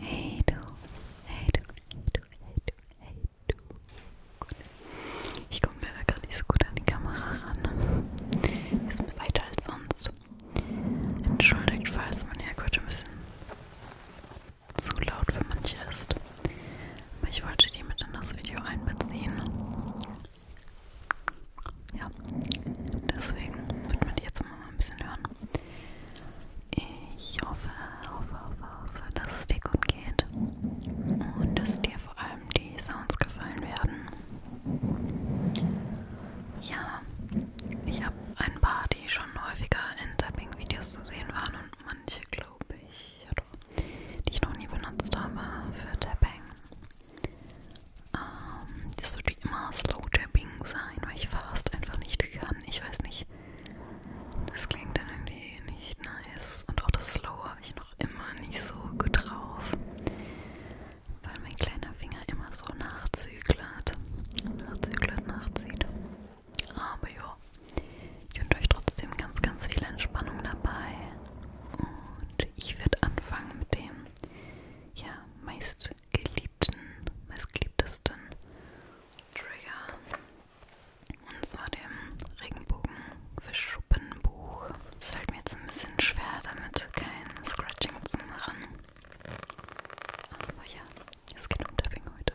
Hey du, hey du, hey du, hey du, hey du. Gut. Ich komme leider gerade nicht so gut an die Kamera ran. Wir sind weiter als sonst. Entschuldigt, falls man ja gerade ein bisschen zu laut für manche ist. Aber ich wollte die mit in das Video einbeziehen. Ja, deswegen wird man die jetzt immer mal ein bisschen hören. Ich hoffe, hoffe, hoffe, hoffe, dass es dir gut geht und dass dir vor allem die Sounds gefallen werden. Ja, ich habe ein paar, die schon häufiger in Tapping-Videos zu sehen waren und manche, glaube ich, oder die ich noch nie benutzt habe für Tapping. Ähm, das wird wie immer Slow Tapping sein, weil ich fast einfach nicht kann. Ich weiß nicht. Das klingt dann irgendwie nicht nice. Und auch das Slow habe ich noch immer nicht so gut drauf. Weil mein kleiner Finger immer so nachzüglert. Nachzüglert, nachzieht. Aber ja. Ich wünsche euch trotzdem ganz, ganz viel Entspannung dabei. Und ich werde anfangen mit dem ja meist meistgeliebten, meistgeliebtesten Trigger. Und zwar dem Regenbogenverschuppenbuch. Es fällt mir jetzt ein bisschen schwer, damit kein Scratching zu machen. Aber ja, es geht um Tapping heute.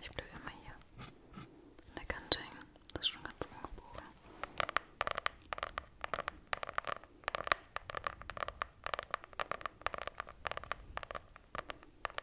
Ich bleibe immer hier in der Kante hängen. Das ist schon ganz angebogen.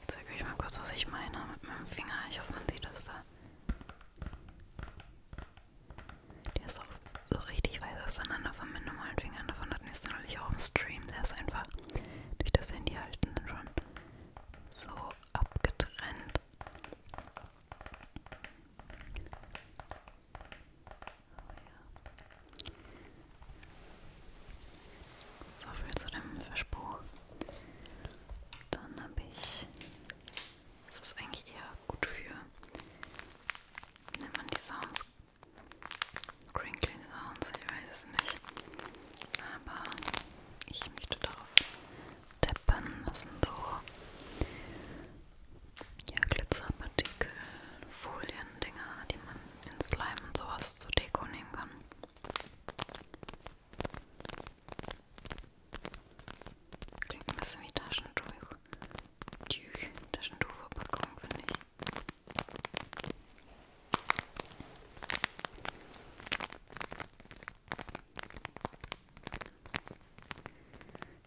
Jetzt zeige ich euch mal kurz, was ich meine mit meinem Finger. Ich hoffe, man sieht das da. Der ist auch so richtig weit auseinander von meinen normalen Fingern. Davon hatten wir es natürlich auch im Stream. Der ist einfach durch das Handy halten schon so abgetrennt ja. So viel zu dem Verspruch. Dann habe ich. Das ist eigentlich eher gut für. Wie nennt man die Sounds? Crinkly Sounds, ich weiß es nicht. Aber ich möchte darauf tappen. Das sind so ja, Glitzerpartikel, Foliendinger, die man in Slime und sowas zur Deko nehmen kann. Klingt ein bisschen wie Taschentuch. Tüch, Taschentuchverpackung, finde ich.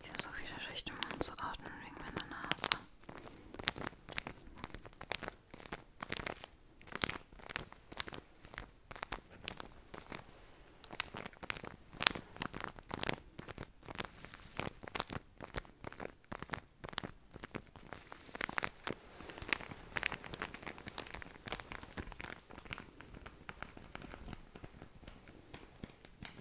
Ich versuche wieder durch den Mund zu atmen wegen meiner Nase.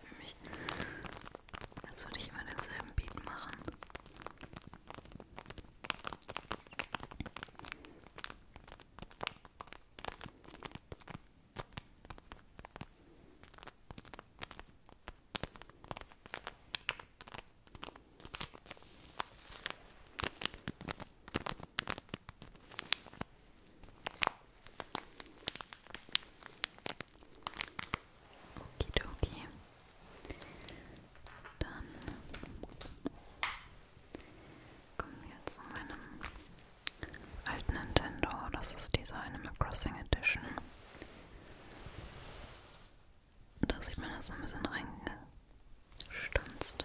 klingt nämlich, als würde ich immer denselben Beat machen. Okidoki. Dann kommen wir jetzt zu meinem alten Nintendo. Das ist diese Animal Crossing Edition. Da sieht man das so ein bisschen reingestanzt.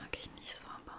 Mag ich nicht so, aber.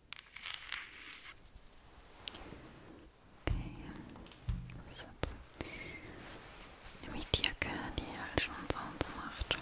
Okay. So, jetzt nehme ich die Jacke, die halt schon so und so macht. Okay.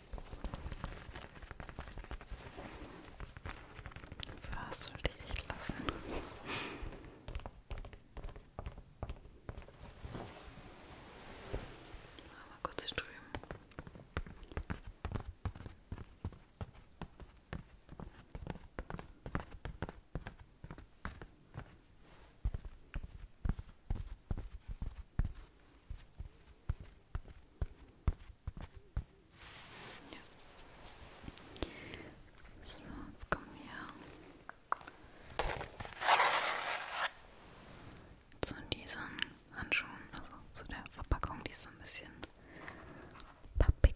Was soll die echt lassen? Mal kurz hier drüben. Ja. So, jetzt kommen wir zu diesen Handschuhen, also zu der Verpackung, die ist so ein bisschen pappig.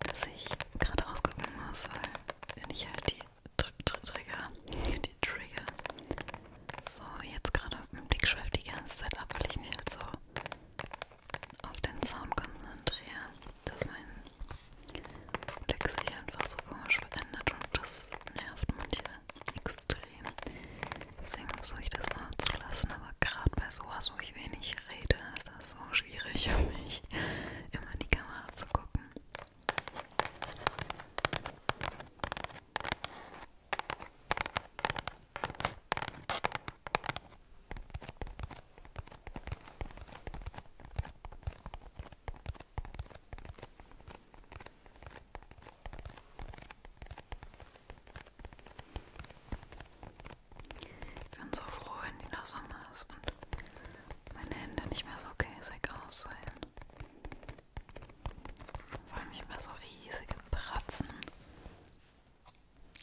dass ich gerade ausgucken muss, weil wenn ich halt die Tr Tr Trigger, die Trigger so jetzt gerade mit Blickschrift die ganze Zeit ab, weil ich mich halt so auf den Sound konzentriere, dass mein Blick sich einfach so komisch verändert und das nervt manche extrem. Deswegen versuche ich das mal zu lassen, aber gerade bei sowas, wo ich wenig rede, ist das so schwierig für mich, immer in die Kamera zu gucken. Ich bin so froh, wenn wieder Sommer ist und meine Hände nicht mehr so käsig aussehen. Vor allem, ich habe so riesige Pratzen.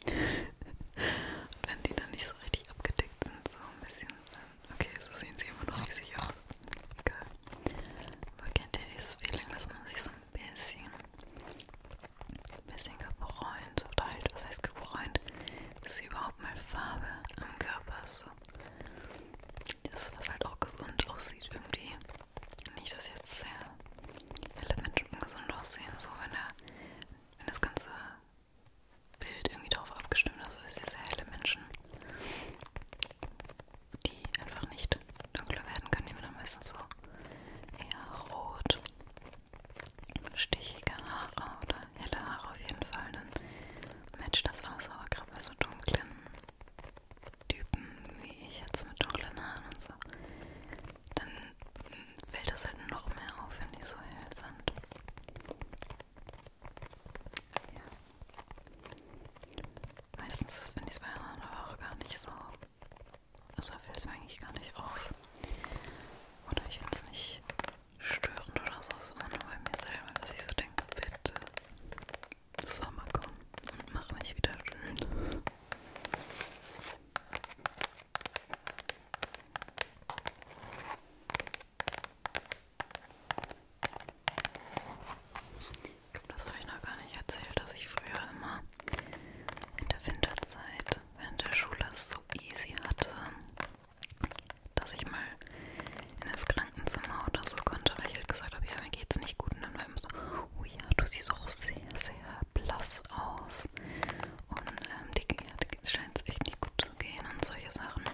und wenn die dann nicht so richtig abgedeckt sind, so ein bisschen. Okay, so sehen sie immer noch riesig aus. Egal. Aber kennt ihr dieses Feeling, dass man sich so ein bisschen ein bisschen gebräunt oder halt, was heißt gebräunt, dass überhaupt mal Farbe am Körper ist. So. Das ist, was halt auch gesund aussieht irgendwie. Nicht, dass jetzt sehr viele Menschen ungesund aussehen, so wenn, der, wenn das ganze Bild irgendwie darauf abgestimmt ist, also sehr helle Menschen, die einfach nicht dunkler werden können, die werden dann meistens so eher rot stichige Haare oder helle Haare auf jeden Fall, dann matcht das auch so, aber gerade bei so dunklen Typen wie ich jetzt mit dunklen Haaren und so, dann fällt das halt noch mehr auf, wenn die so hell sind. Ja. Meistens finde ich es bei anderen aber auch gar nicht so, also fällt es mir eigentlich gar nicht auf oder ich jetzt nicht störend oder so, sondern nur bei mir selber, dass ich so denke, bitte Sommer komm und mach mich wieder schön. Ich glaube, das habe ich noch gar nicht erzählt, dass ich früher immer in der Winterzeit während der Schule es so easy hatte, dass ich mal in das Krankenzimmer oder so konnte, weil ich halt gesagt habe, ja, mir geht's nicht gut. Und dann war immer so, oh ja, du siehst auch sehr, sehr blass aus. Und ähm, die, die scheint es echt nicht gut zu gehen und solche Sachen.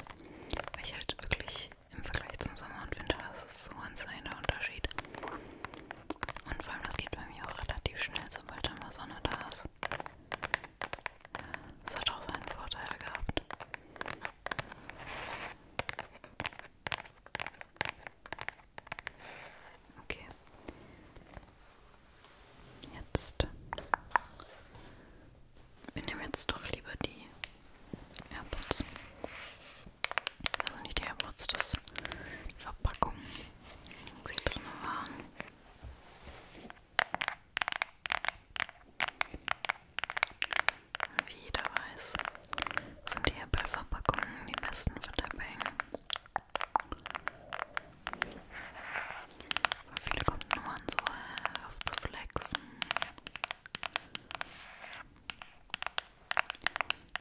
Weil ich halt wirklich im Vergleich zum Sommer und Winter, das ist so ein kleiner Unterschied. Und vor allem, das geht bei mir auch relativ schnell, sobald dann mal Sonne da ist. Das hat auch seinen Vorteil gehabt. Okay. Jetzt. Wir nehmen jetzt doch lieber die AirPods. Also nicht die AirPods, das die Verpackung, sie drin waren. Wie jeder weiß, sind die Apple-Verpackungen die besten für Tapping. Aber viele kommen nur an so äh, auf zu flexen.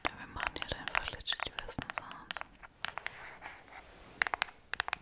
Ja, wir machen hier einfach legit die besten Sounds.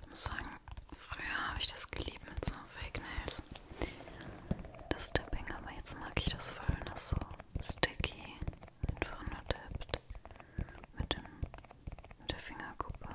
Ich muss sagen, früher habe ich das geliebt mit so Fake Nails. Das Dipping, aber jetzt mag ich das voll, wenn das so sticky einfach nur dippt. Mit, dem, mit der Fingerkuppe.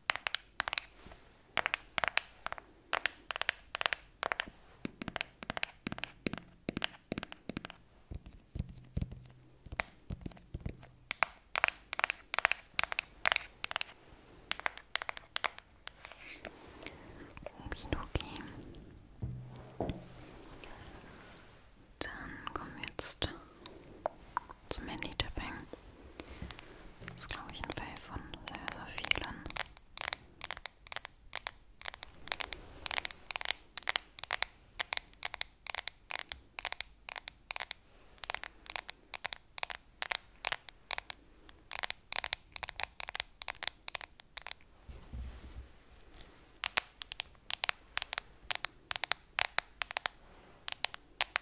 Okidoki. Dann kommen wir jetzt zum Handy-Tapping. Das ist, glaube ich, ein Fall von sehr, sehr vielen.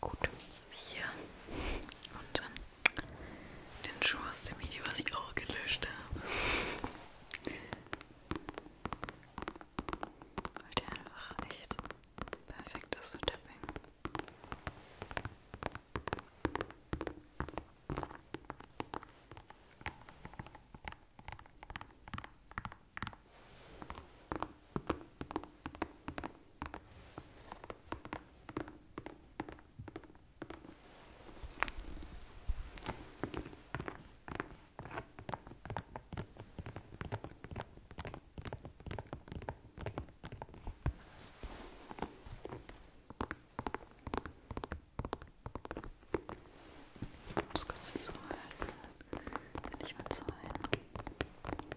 Gut, hier und dann den Schuh aus dem Video, was ich auch gelöscht habe. Weil der einfach echt perfekt ist für Tapping. Ich muss kurz so halten, kann ich mal zeigen.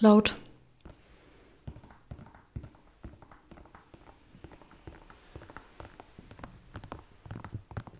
Laut.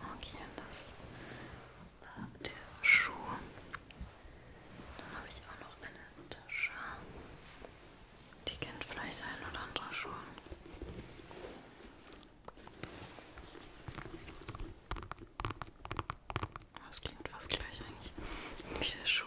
Okay, das war der Schuh. Dann habe ich auch noch eine Tasche. Die kennt vielleicht ein oder andere schon. Das klingt fast gleich eigentlich wie der Schuh.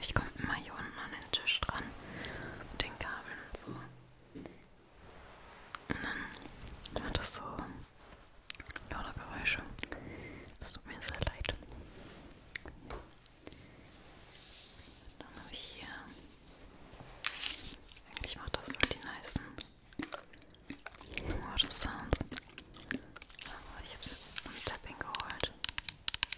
Ich komme immer hier unten an den Tisch dran mit den Kabeln und so. Und dann hat das so laute Geräusche. Das tut mir sehr leid. Dann habe ich hier. Eigentlich macht das nur die nicen Water Sounds. Aber ich habe es jetzt zum Tapping geholt.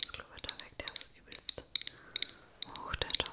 Das Klobeter weg, der ist übelst hoch, der Ton.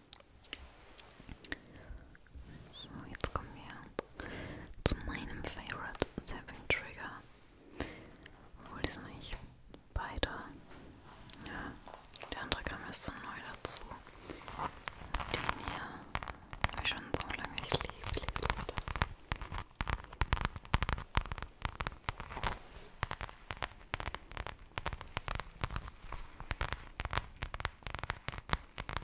So, jetzt kommen wir zu meinem Favorite Tapping Trigger. Obwohl die sind eigentlich beide. Ja, der andere kam erst so neu dazu. Den hier habe ich schon so lange. Ich liebe, liebe das.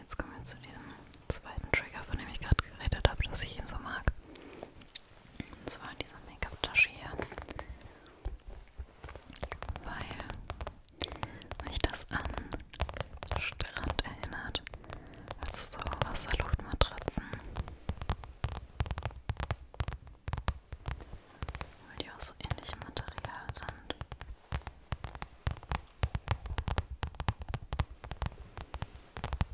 Jetzt kommen wir zu diesem zweiten Trigger, von dem ich gerade geredet habe, dass ich ihn so mag. Und zwar in dieser Make-up-Tasche hier. Weil mich das an Strand erinnert. Also so Wasserluftmatratzen. Weil die aus so ähnlichem Material sind.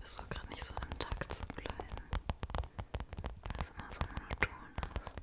Bist du gerade nicht so im Takt zu bleiben? Weil es immer so monoton ist.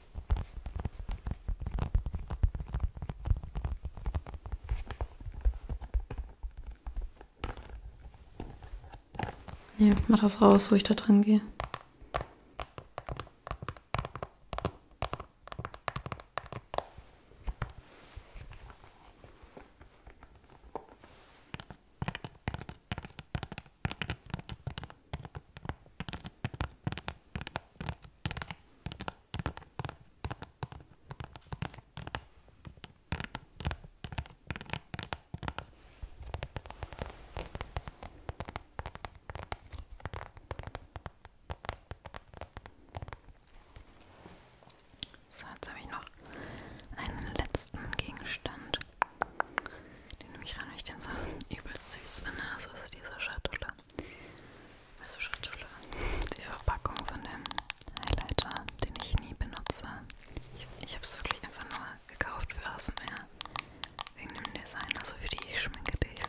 Ne, mach das raus, wo ich da dran gehe. So, jetzt habe ich noch einen letzten Gegenstand. Duft. Den nehme ich ran, weil ich den so übelst süß finde. Das ist diese Schatulle. Also Schatulle. Die Verpackung von dem Highlighter, den ich nie benutze. Ich, ich habe es wirklich einfach nur gekauft für ASMR. Wegen dem Design, also für die ich schminke dies.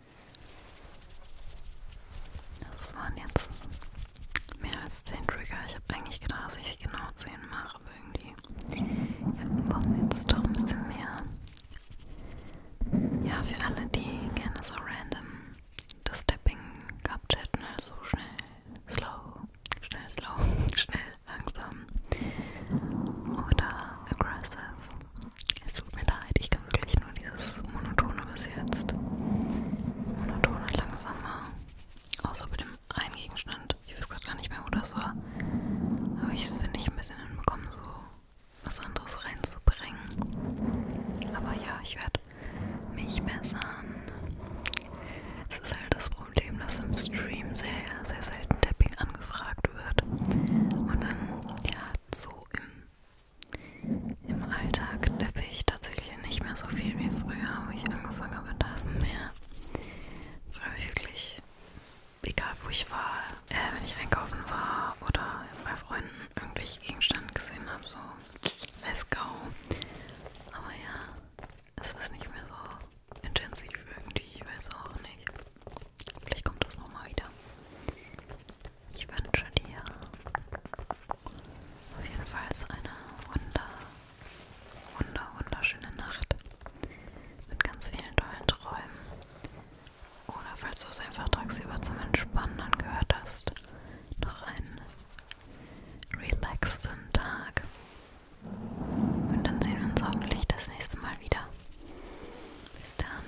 Das waren jetzt mehr als 10 Trigger. Ich habe eigentlich gedacht, dass ich genau 10 mache, aber irgendwie. Ja, wir brauchen jetzt doch ein bisschen mehr. Ja, für alle, die gerne so random das Stepping abchatten, also schnell, slow, schnell, slow, schnell, langsam oder aggressive es tut mir leid, ich kann wirklich nur dieses monotone bis jetzt. Monotone, langsamer. Außer bei dem einen Gegenstand. Ich weiß gerade gar nicht mehr, wo das war. Aber ich es finde ich ein bisschen hinbekommen, so was anderes reinzubringen. Aber ja, ich werde mich bessern. Es ist halt das Problem, dass im Stream sehr, sehr selten Tapping angefragt wird. Und dann, ja, so im im Alltag knüppe ich tatsächlich nicht mehr so viel wie früher, wo ich angefangen habe mit ASMR. Früher habe ich wirklich, egal wo ich war, äh, wenn ich einkaufen war oder bei Freunden irgendwelche Gegenstände gesehen habe, so let's go. Aber ja, es ist nicht mehr so intensiv irgendwie, ich weiß auch nicht. Vielleicht kommt das nochmal wieder. Ich wünsche dir auf jeden Fall eine wunder, wunder, wunderschöne Nacht mit ganz vielen tollen Träumen. Oder falls du es einfach tagsüber zum Entspannen angehört hast, noch einen relaxten Tag. Und dann sehen wir uns hoffentlich das nächste Mal wieder. Bis dann.